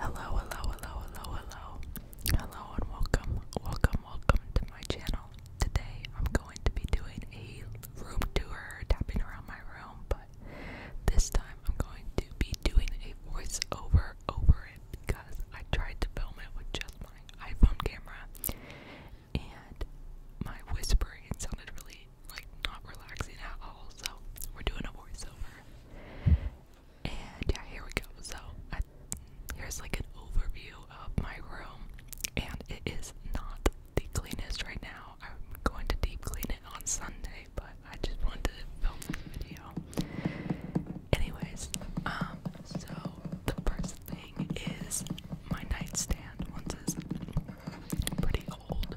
Hello, hello, hello, hello, hello. Hello and welcome, welcome, welcome to my channel. Today I'm going to be doing a room tour, tapping around my room, but this time I'm going to be doing a voiceover over it because I tried to film it with just my iPhone camera and my whispering sounded really like not relaxing at all, so we're doing a voiceover. And yeah, here we go. So I, here's like an overview of my room, and it is not the cleanest right now. I'm going to deep clean it on Sunday, but I just wanted to film this video. Anyways, um, so the first thing is my nightstand. Once is pretty old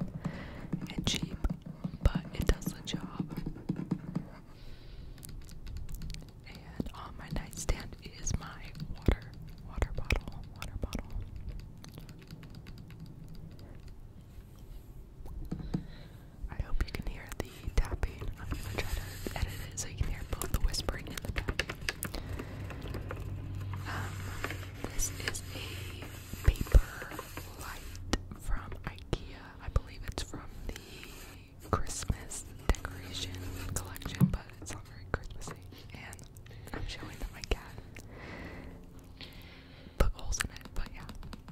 and cheap, but it does the job. And on my nightstand is my water, water bottle, water bottle. I hope you can hear the tapping. I'm gonna try to edit it so you can hear both the whispering and the tapping. Um, this is a paper light from IKEA. I believe it's from the Christmas decoration collection, but it's not very Christmassy. And I'm showing that my cat put holes in it, but yeah.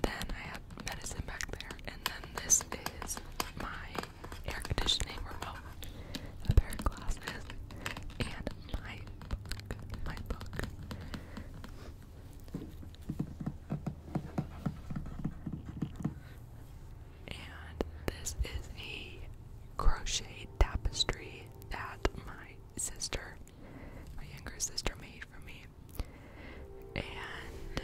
Then I have medicine back there, and then this is my air conditioning remote, a pair of glasses, and my My book. And this is a crochet tapestry that my sister, my younger sister, made for me. And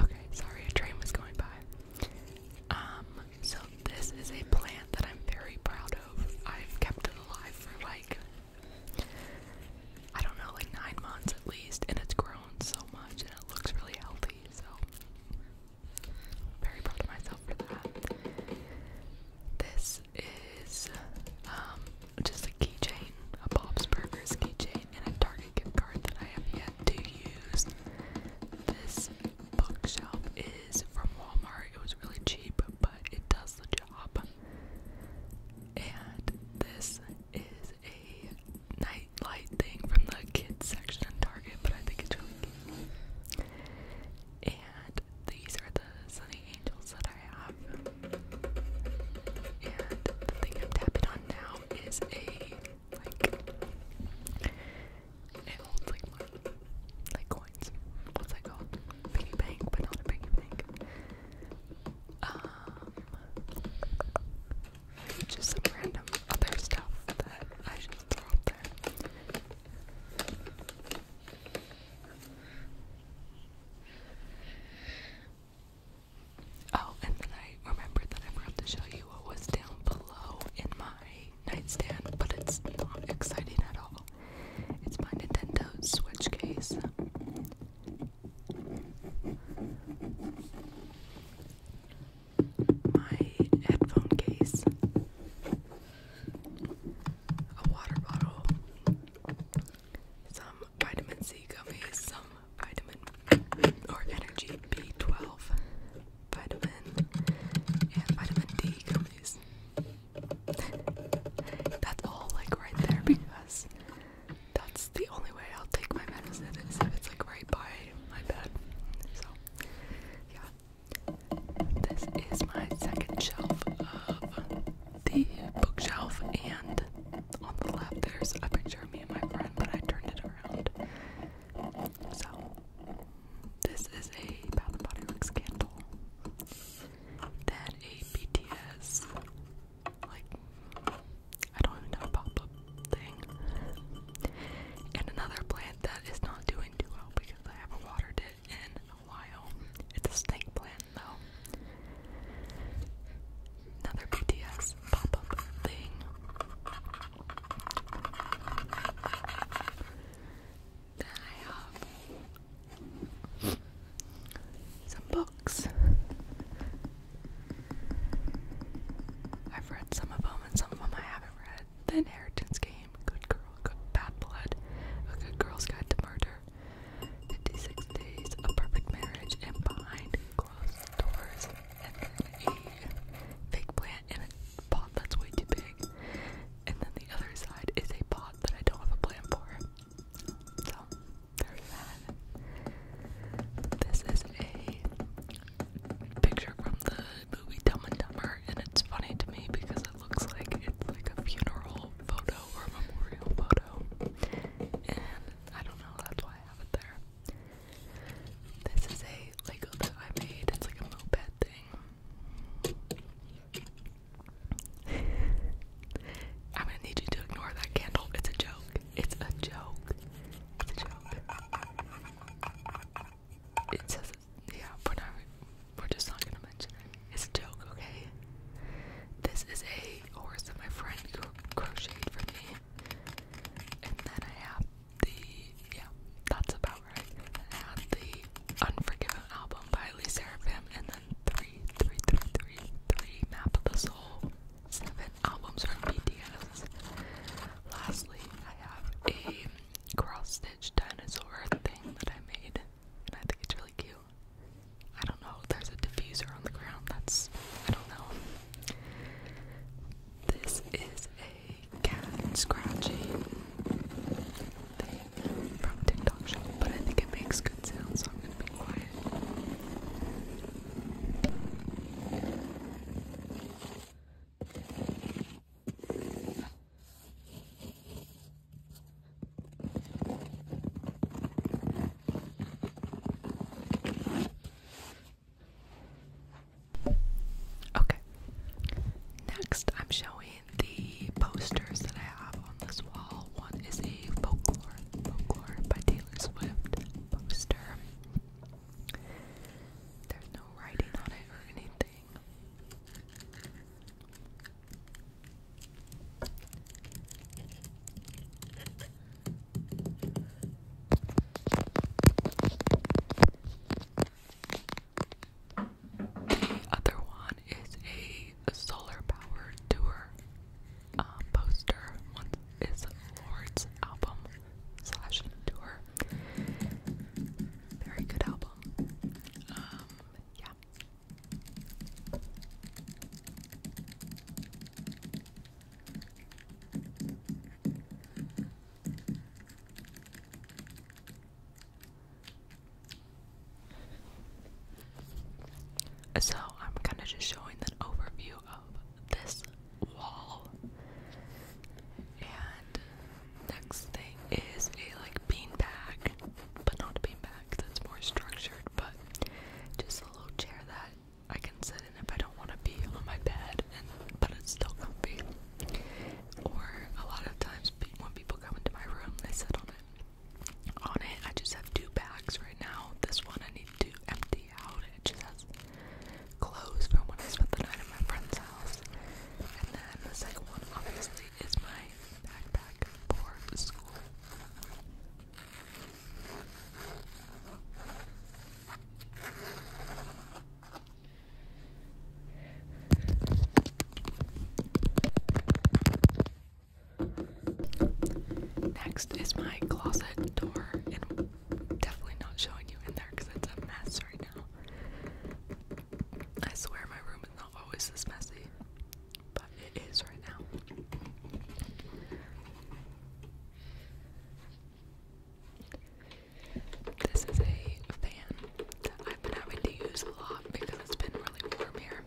Okay, sorry, a train was going by. Um, so this is a plant that I'm very proud of. I've kept it alive for like I don't know, like nine months at least, and it's grown so much and it looks really healthy, so very proud of myself for that. This is um just a keychain, a Bob's Burgers keychain, and a dark card that I have yet to use. This bookshelf is from Walmart. It was really cheap, but it does the job. And this is a night light thing from the kids section in Target, but I think it's really cute. And these are the Sunny Angels that I have. And the thing I'm tapping on now is a like it holds like money, like coins. What's that called? Piggy bank, but not a piggy bank. Um, just some random other stuff that I just throw up there. Oh, and then I remembered that I forgot to show you what was down below in my nightstand, but it's not exciting at all. It's my Nintendo Switch case. My headphone case, a water bottle, some vitamin C gummies, some vitamin or energy B12, vitamin, and vitamin D gummies. that's all like right there because that's the only way I'll take my medicine is if it's like right by my bed. So yeah. This is my second shelf of the bookshelf and on the left, there's a picture of me and my friend, but I turned it around. So, this is a Bath and Body Works a BTS, like, I don't even know, pop up thing. And another plant that is not doing too well because I haven't watered it in a while. It's a snake plant, though another BTS pop-up thing. Then I have some books. I've read some of them and some of them I haven't read. The Inheritance Game, Good Girl, Good Bad Blood, A Good Girl's Guide to Murder, 56 Days, A Perfect Marriage, and Behind doors, and then a fake plant in a pot that's way too big. And then the other side is a pot that I don't have a plan for. So, there's that. This is a picture from the movie Dumb and Dumber, and it's funny to me because it looks like it's like a funeral photo or a memorial photo. And I don't know, that's why I have it there. This is a Lego that I made. It's like a moped thing. I'm gonna need you to ignore that candle. It's a joke. It's a joke. It's a joke. It says, yeah, we're we're just not gonna mention it. It's a joke, okay? This is a horse that my friend crocheted for me. And then I have the yeah, that's about right. I have the Unforgiven album by Lee Seraphim and then three, three, three, three, three Map of the Soul. Seven albums from BTS. Lastly, I have a cross-stitch dinosaur thing that I made, and I think it's really cute. I don't know, there's a diffuser on the ground, that's, I don't know. This is a cat scratching thing from TikTok but I think it makes good sounds, so I'm gonna be quiet. Okay. Next, I'm showing the posters that I have on this wall. One is a folklore, folklore by Taylor Swift poster. There's no writing on it or anything. The other one is a solar powered tour um, poster. One is Lord's album slash tour. Very good album. Um, yeah. So, I'm kind of just showing an overview of this wall. And next thing is a like bean bag, but not a bean bag. that's more structured, but just a little chair that I can sit in if I don't want to be on my bed, and but it's still comfy. Or a lot of times when people come into my room, they sit on it. On it, I just have two bags right now. This one I need to empty out. It just has clothes from when I spent the night at my friend's house. And then the second one, obviously, is my backpack for school. Next is my closet door, and definitely not showing you in there because it's a mess right now. I swear my room is not always this messy, but it is right now. This is a fan that I've been having to use a lot because it's been really warm here.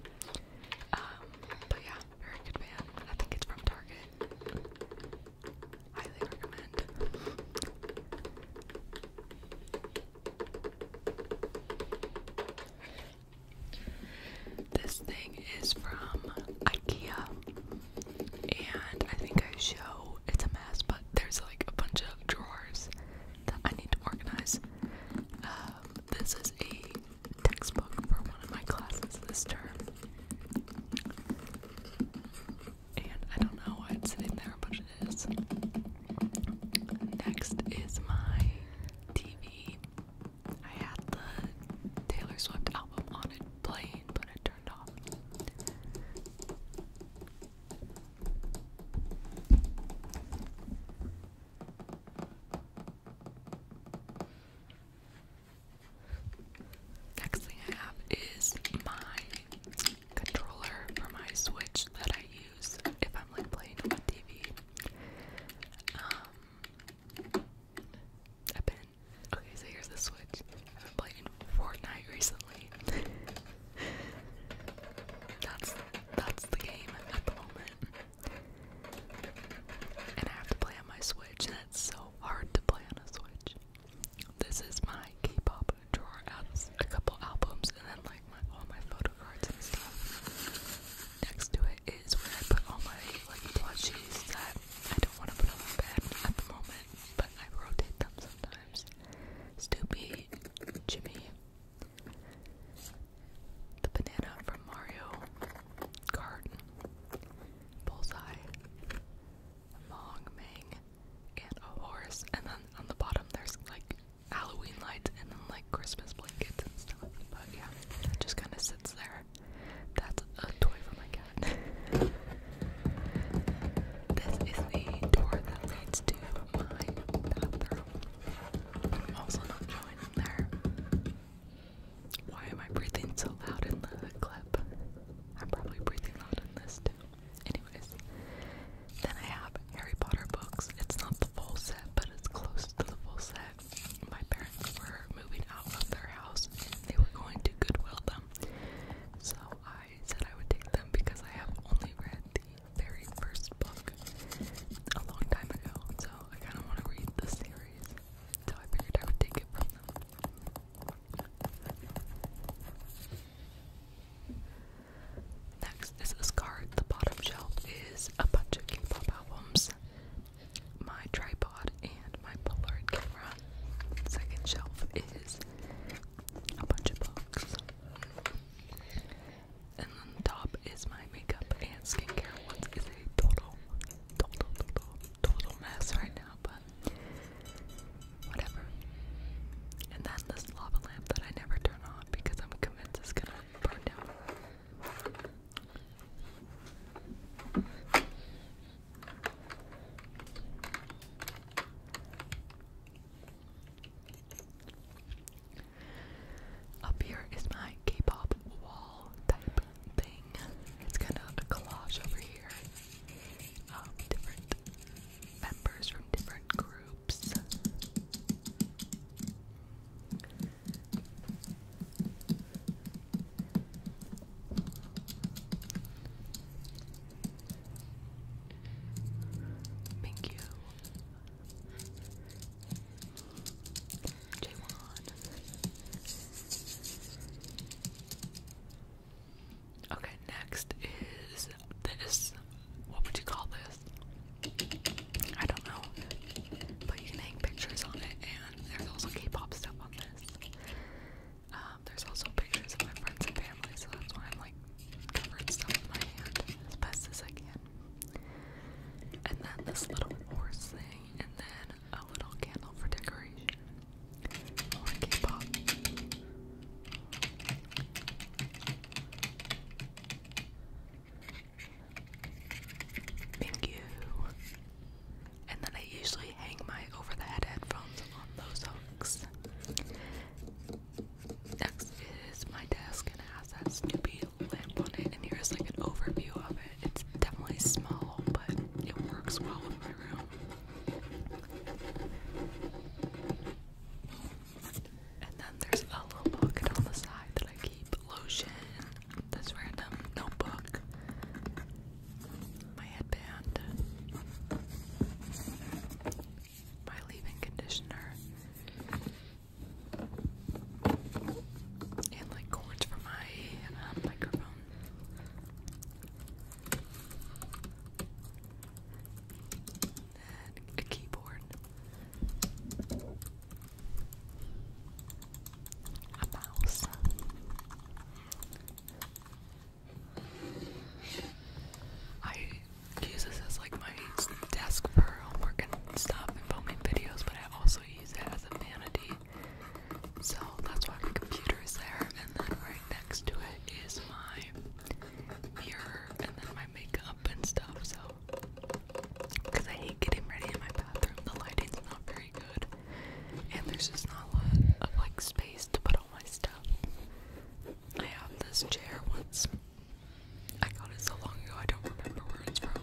Um, but yeah, very good fan. I think it's from Target. Highly recommend. This thing is from IKEA and I think I show it's a mess, but there's like a bunch of drawers that I need to organize. Um, this is a textbook for one of my classes this term, and I don't know why it's sitting there, of it is. Next is my TV. I had the Taylor Swift album on it playing, but it Next thing I have is my controller for my Switch that I use if I'm like playing on TV. Um, i Okay, so here's the Switch. I've been playing Fortnite recently. that's that's the game at the moment. And I have to play on my Switch, and it's so hard to play on a Switch. This is my K-pop drawer out a couple albums, and then like all my photo cards and stuff. Next to it is where I put all my like plushies that I don't want to put on my bed at the moment, but I rotate them sometimes. Stupid Jimmy, the banana from Mario Kart, Bullseye, Mong Mang, and a horse. And then on the bottom there's like Halloween lights and then like Christmas blankets and stuff. But yeah, just kind of sits there. That's a toy for my cat. this is the door that leads to my bathroom. also not showing in there. Why am I breathing so loud in the clip? I'm probably breathing loud in this too. Anyways, then I have Harry Potter books. It's not the full set, but it's close to the full set. My parents were moving out of their house they were going to Goodwill them. So I said I would take them because I have only read the very first book a long time ago. So I kind of want to read the series. So I figured I would take it from them. Next is this card. The bottom shelf is a bunch of k albums my tripod and my Polaroid camera. Second shelf is a bunch of books. And then the top is my makeup and skincare. Once is a total, total, total, total mess right now, but whatever. And then this lava lamp that I never turn on because I'm convinced it's gonna burn down. Up here is my K-pop wall type thing. It's kind of a collage over here of um, different members from different groups. Thank you. J1. Okay, next is this. What would you call this? I don't know. But you can hang pictures on it, and there's also K pop stuff on this. Um, there's also pictures of my friends and family, so that's why I'm like covering stuff in my hand as best as I can. And then this little horse thing, and then a little candle for decoration. More oh, K-pop. Thank you and then I usually hang my over the head headphones on those hooks. Next is my desk, and it has that Snoopy lamp on it, and here's like an overview of it. It's definitely small, but it works well with my room. And then there's a little pocket on the side that I keep lotion, this random notebook, my headband, my leave-in conditioner, and like cords for my um, microphone. a keyboard. A mouse. I use this as like my desk for homework and stuff and filming videos, but I also use it as a vanity. So that's why my computer is there, and then right next to it is my mirror and then my makeup and stuff. So, because I hate getting ready in my bathroom, the lighting's not very good and there's just not a lot of like space to put all my stuff. I have this chair once. I got it so long ago I don't remember where it's from.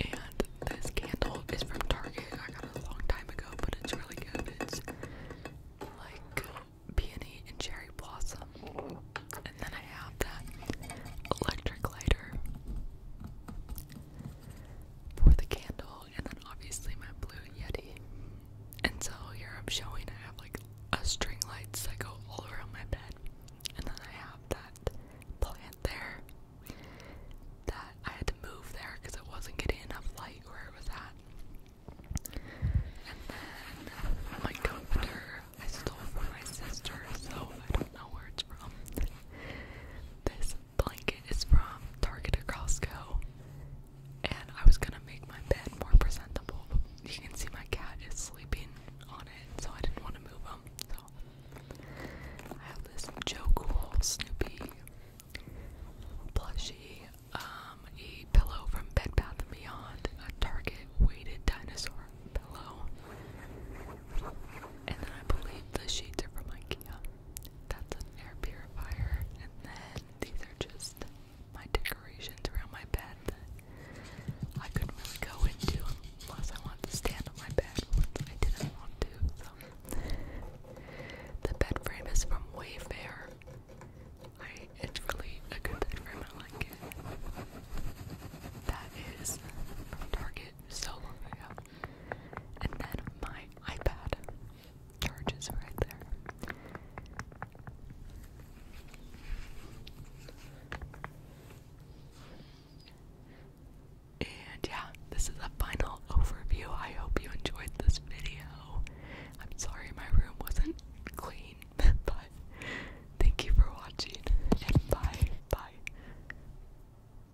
And this candle is from Target. I got it a long time ago, but it's really good. It's like peony and cherry blossom. And then I have that electric lighter for the candle, and then obviously my blue Yeti. And so here I'm showing I have like a string lights that go all around my bed, and then I have that plant there that I had to move there because it wasn't getting enough light where it was at. And then my comforter I stole from my sister, so I don't know where it's from. This blanket is from Target or Costco. And I was gonna make my bed more presentable, you can see my cat is sleeping on it, so I didn't want to move him. So I have this Joe Cool Snoopy plushy, um, a pillow from Bed Bath & Beyond, a Target weighted dinosaur pillow, and then I believe the sheets are from IKEA. That's an air purifier. And then these are just my decorations around my bed. I couldn't really go into unless I wanted to stand on my bed, which I didn't want to. So the bed frame is from Wayfair. it's really a good bed frame. I like it. That is from Target so long ago. And then my iPad charges right there. And yeah, this is a final overview. I hope you enjoyed this video. I'm sorry my room wasn't clean, but thank you for watching and bye. Bye.